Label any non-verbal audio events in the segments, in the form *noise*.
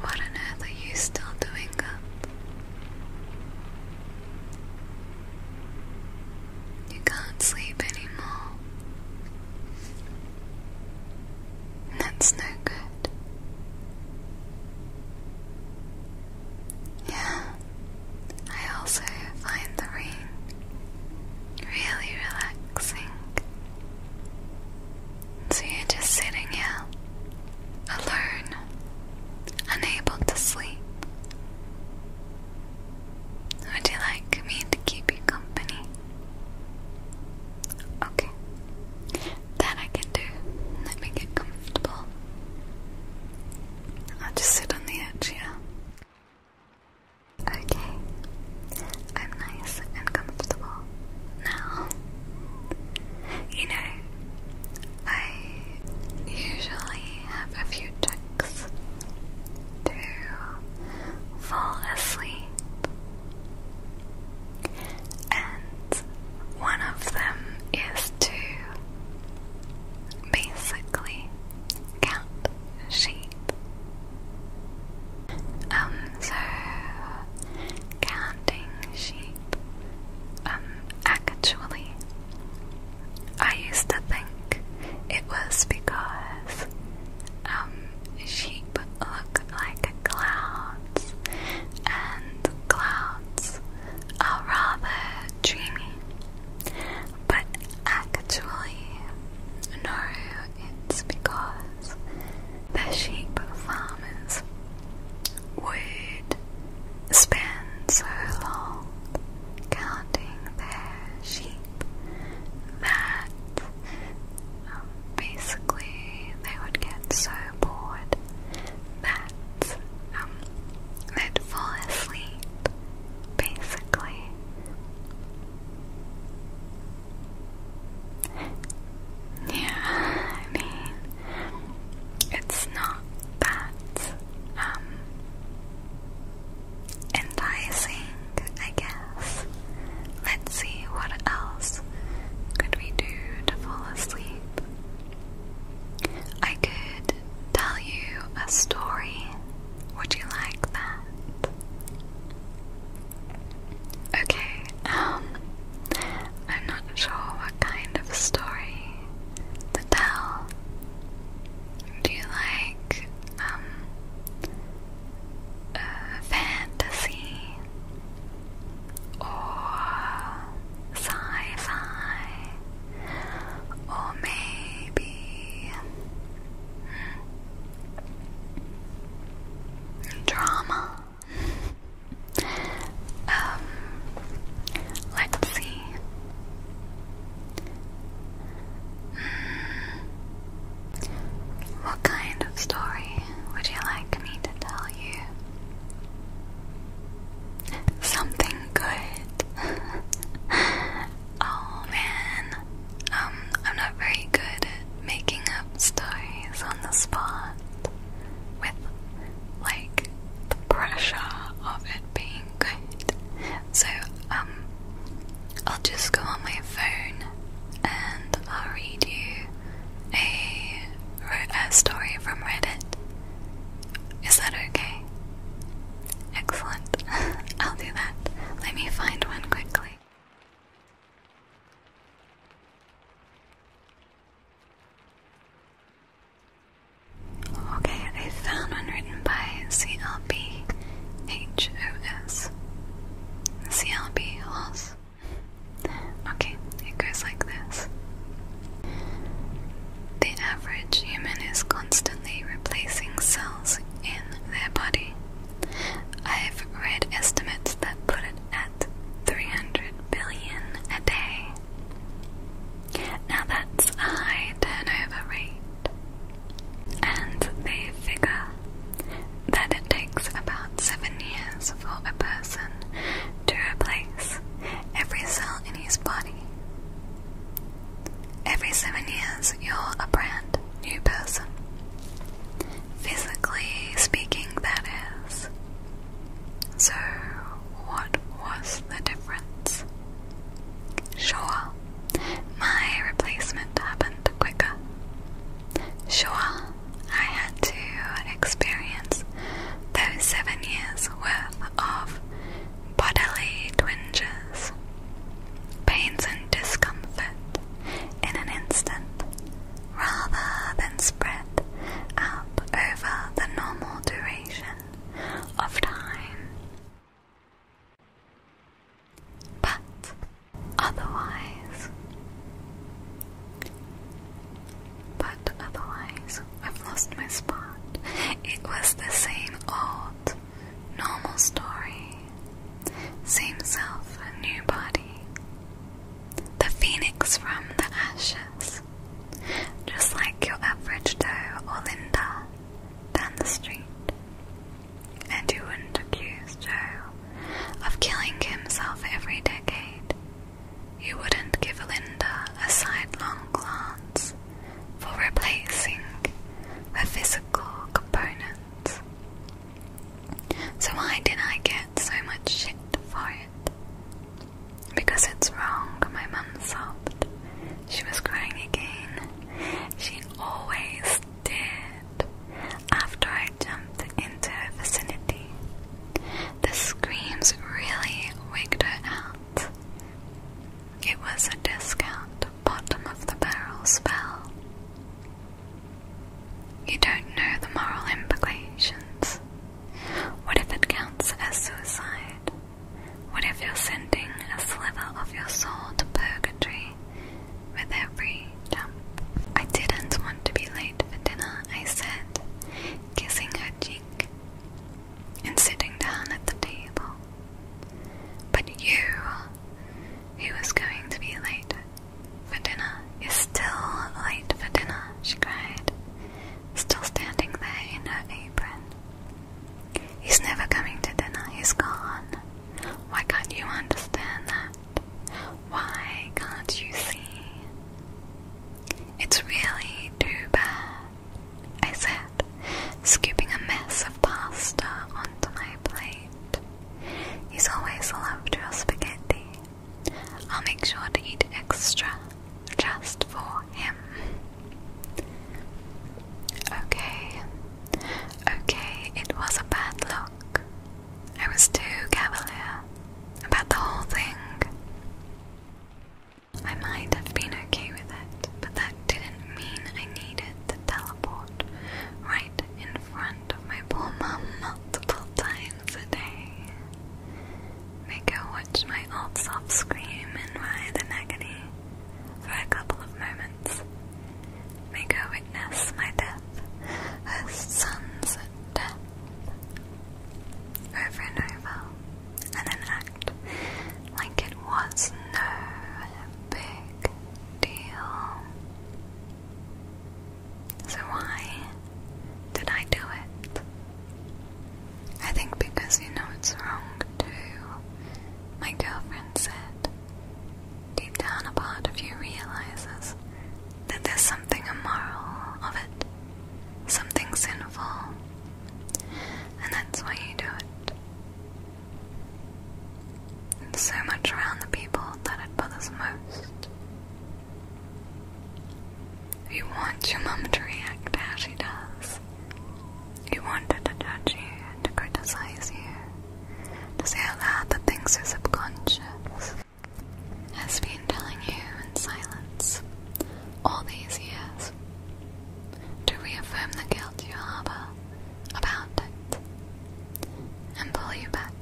What on earth are you still doing up? You can't sleep anymore. That's no good. Yeah, I also find the rain really relaxing. So you're just sitting here, alone, unable to sleep. Would you like me to keep you company? Okay, that I can do. Let me get comfortable. I'll just sit on the edge, yeah? Okay, I'm nice and comfortable now. You know, I usually have a few tricks to fall asleep, and one of them is to Basically, cat sheep. Um, so counting sheep. Um, actually, I used to think it was because um sheep look like clouds, and clouds are rather dreamy. But actually, no, it's because the sheep farmers would spend so long counting their sheep that um, basically they would get so bored that um, I'd fall asleep, basically. Yeah, I mean, it's not that um, enticing, I guess. Let's see what else could we do to fall asleep. I could tell you a story. Would you like that? Okay, um, I'm not sure what kind of story to tell. Do you like, um, uh, fantasy? Or sci-fi, or maybe hmm, drama. Um, let's see. Hmm, what kind of story would you like me to tell you? Something good. *laughs* oh man, um, I'm not very good at making up stories on the spot with like the pressure of it being good. So, um, I'll just go on my phone and I'll read you a, a story from Reddit. Is that okay? Excellent. *laughs* I'll do that. Let me find one quickly. Okay, I found one written by CLB Okay, it goes like this. The average human is constantly replacing cells in their body. I've read estimates that put it at 300 billion a day. Now that's a high turnover rate. And they figure that it takes about seven years for a person to replace every cell in his body. Every seven years, you're a brand new person. Physically speaking, that is. So, what was the difference? Sure, my replacement happened quicker. Sure, I had to experience those seven years worth of bodily twinges, pains and discomfort in an instant, rather than spread out over the normal duration of time. But otherwise, but otherwise, I've lost my spot. It was the same old, normal story. Same self, a new body. The phoenix from the ashes. Just like your average Joe or Linda down the street. And you wouldn't accuse Joe of killing himself every decade you wouldn't give Alinda a sidelong glance for replacing her physical components. So why did I get so much shit for it? Because it's wrong, my mum sobbed. She was crying again. She always did after I jumped into her vicinity. The screams really wigged her up. It was a discount bottom of the barrel spell. You don't know the moral implications. What if it counts as suicide? What if you're sending a sliver of your soul to purgatory with every jump? I didn't want to be late for dinner, I said, kissing her cheek and sitting down at the table. But you, who was going to be late for dinner, is still late for dinner, she cried, still standing there in her apron. He's never coming to dinner, he's gone. Why can't you understand that? Why can't you see? It's really too bad. I said, scooping a mess of pasta onto my plate. He's always loved your spaghetti. I'll make sure to eat extra just for him. Okay, okay, it was a bad look. I was too cavalier about the whole thing. I might have been okay with it, but that didn't mean I needed to teleport right in front of my poor mom multiple times a day. Make her watch my old soft scream and writhe in agony for a couple of moments. Make her witness my death, her son's death, over and over, and then act like it was no big deal. So, why did I do it? I think because you know it's wrong too. My girlfriend said, deep down a part of you realizes that there's something immoral of it, something sinful, and that's why you do it. It's so much around the people that it bothers most. You want your mum to react as she does. You want her to judge you, to criticize you, to say aloud that things your subconscious has been telling you in silence all these years to reaffirm the guilt you harbor about it and pull you back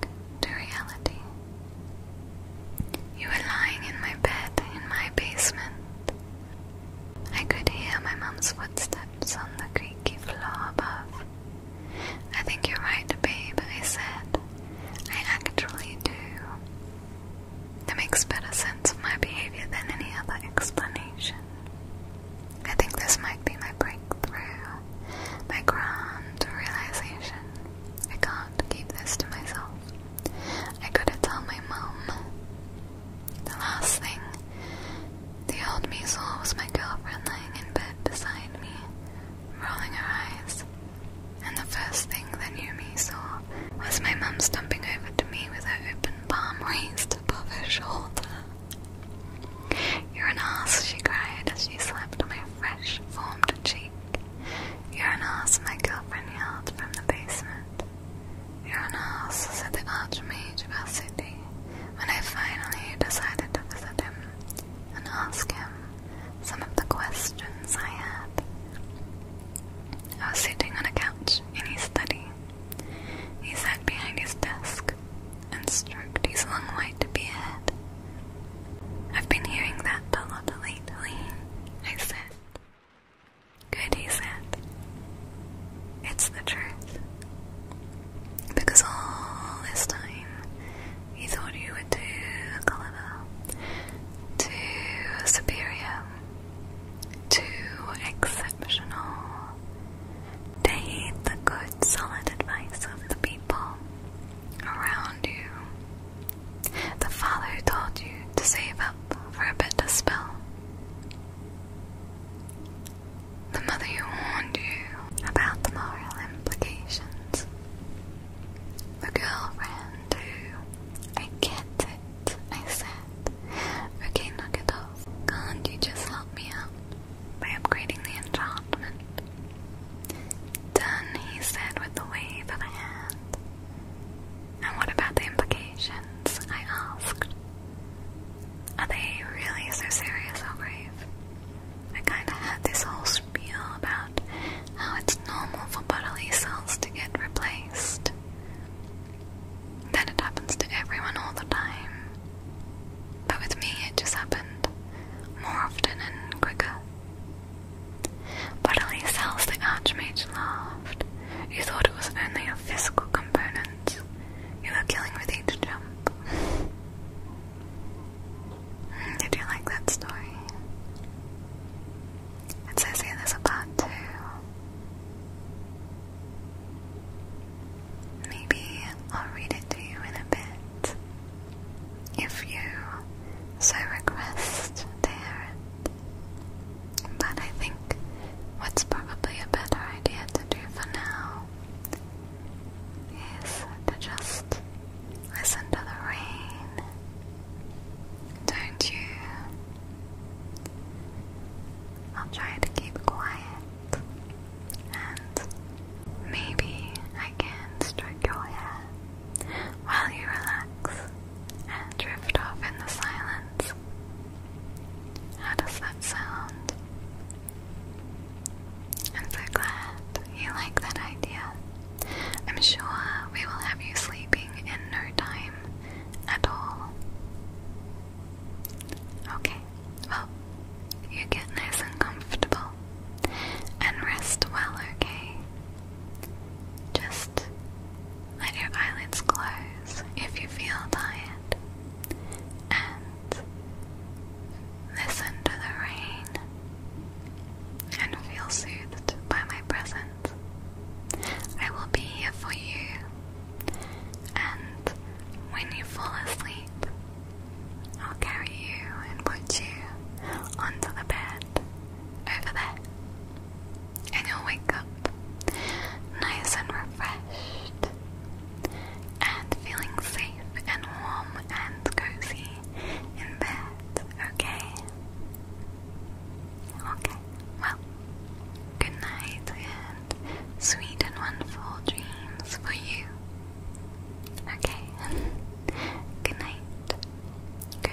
to reality. You were lying in my bed in my basement. I could hear my mom's footsteps on the creaky floor above. I think you're right, babe, I said. I actually do. That makes better sense of my behavior than any other explanation. I think this might be my breakthrough, my grand realization. I can't keep this to myself. I gotta tell my mom. The last thing the old me was my girlfriend lying in bed beside me, rolling her eyes. And the first thing that you me we was my mum stumping over to me with her open palm raised above her shoulder. You're an ass, she cried as she slapped my fresh, formed cheek. You're an ass, my girlfriend yelled from the basement. You're an ass, said the archmage of our city, when I finally decided to visit him and ask him some of the questions I had. I was sitting on a couch in his study. He sat behind his desk and stroked his long white beard. I've been hearing that bell lot lately, I said. Good, he said. It's the truth. Because all this time he thought you were too clever, too superior, too exceptional. They hate the good, solid advice of the people around you. The father who told you to save up for a better spell. The mother who warned you about the moral implications. The girlfriend who, I get it, I said. Okay, knock it off. Can't you just help me out by upgrading the enchantment? Done, he said with a wave of the hand. And what about the implications? I asked. Are they really so serious or grave? I kinda had this whole spiel about how it's normal for bodily cells to get replaced. Then it happens to everyone all the time. But with me, it just happened more often and quicker. Bodily cells, the Archmage laughed. You thought it was only a physical component. You were killing with each jump. Mm, did you like that story? It says here there's a part Maybe I'll read it to you in a bit if you so request to But I think what's probably a better idea to do for now is to just listen to the rain don't you? I'll try to keep quiet and maybe I can stroke your hair while you relax and drift off in the silence. How does that sound? I'm so glad you like that idea. I'm sure we will have you sleeping in no time at all. Okay, well, you get nice and comfortable and rest well, okay? Just let your eyelids close if you feel tired and listen to the rain and feel soothed by my presence. I will be here for you, and when you fall asleep, I'll carry you and put you onto the bed over there, and you'll wake up nice and refreshed and feeling safe and warm and cozy in bed, okay? Okay, well, good night and sweet and wonderful dreams for you. Okay, *laughs* good night. Good night.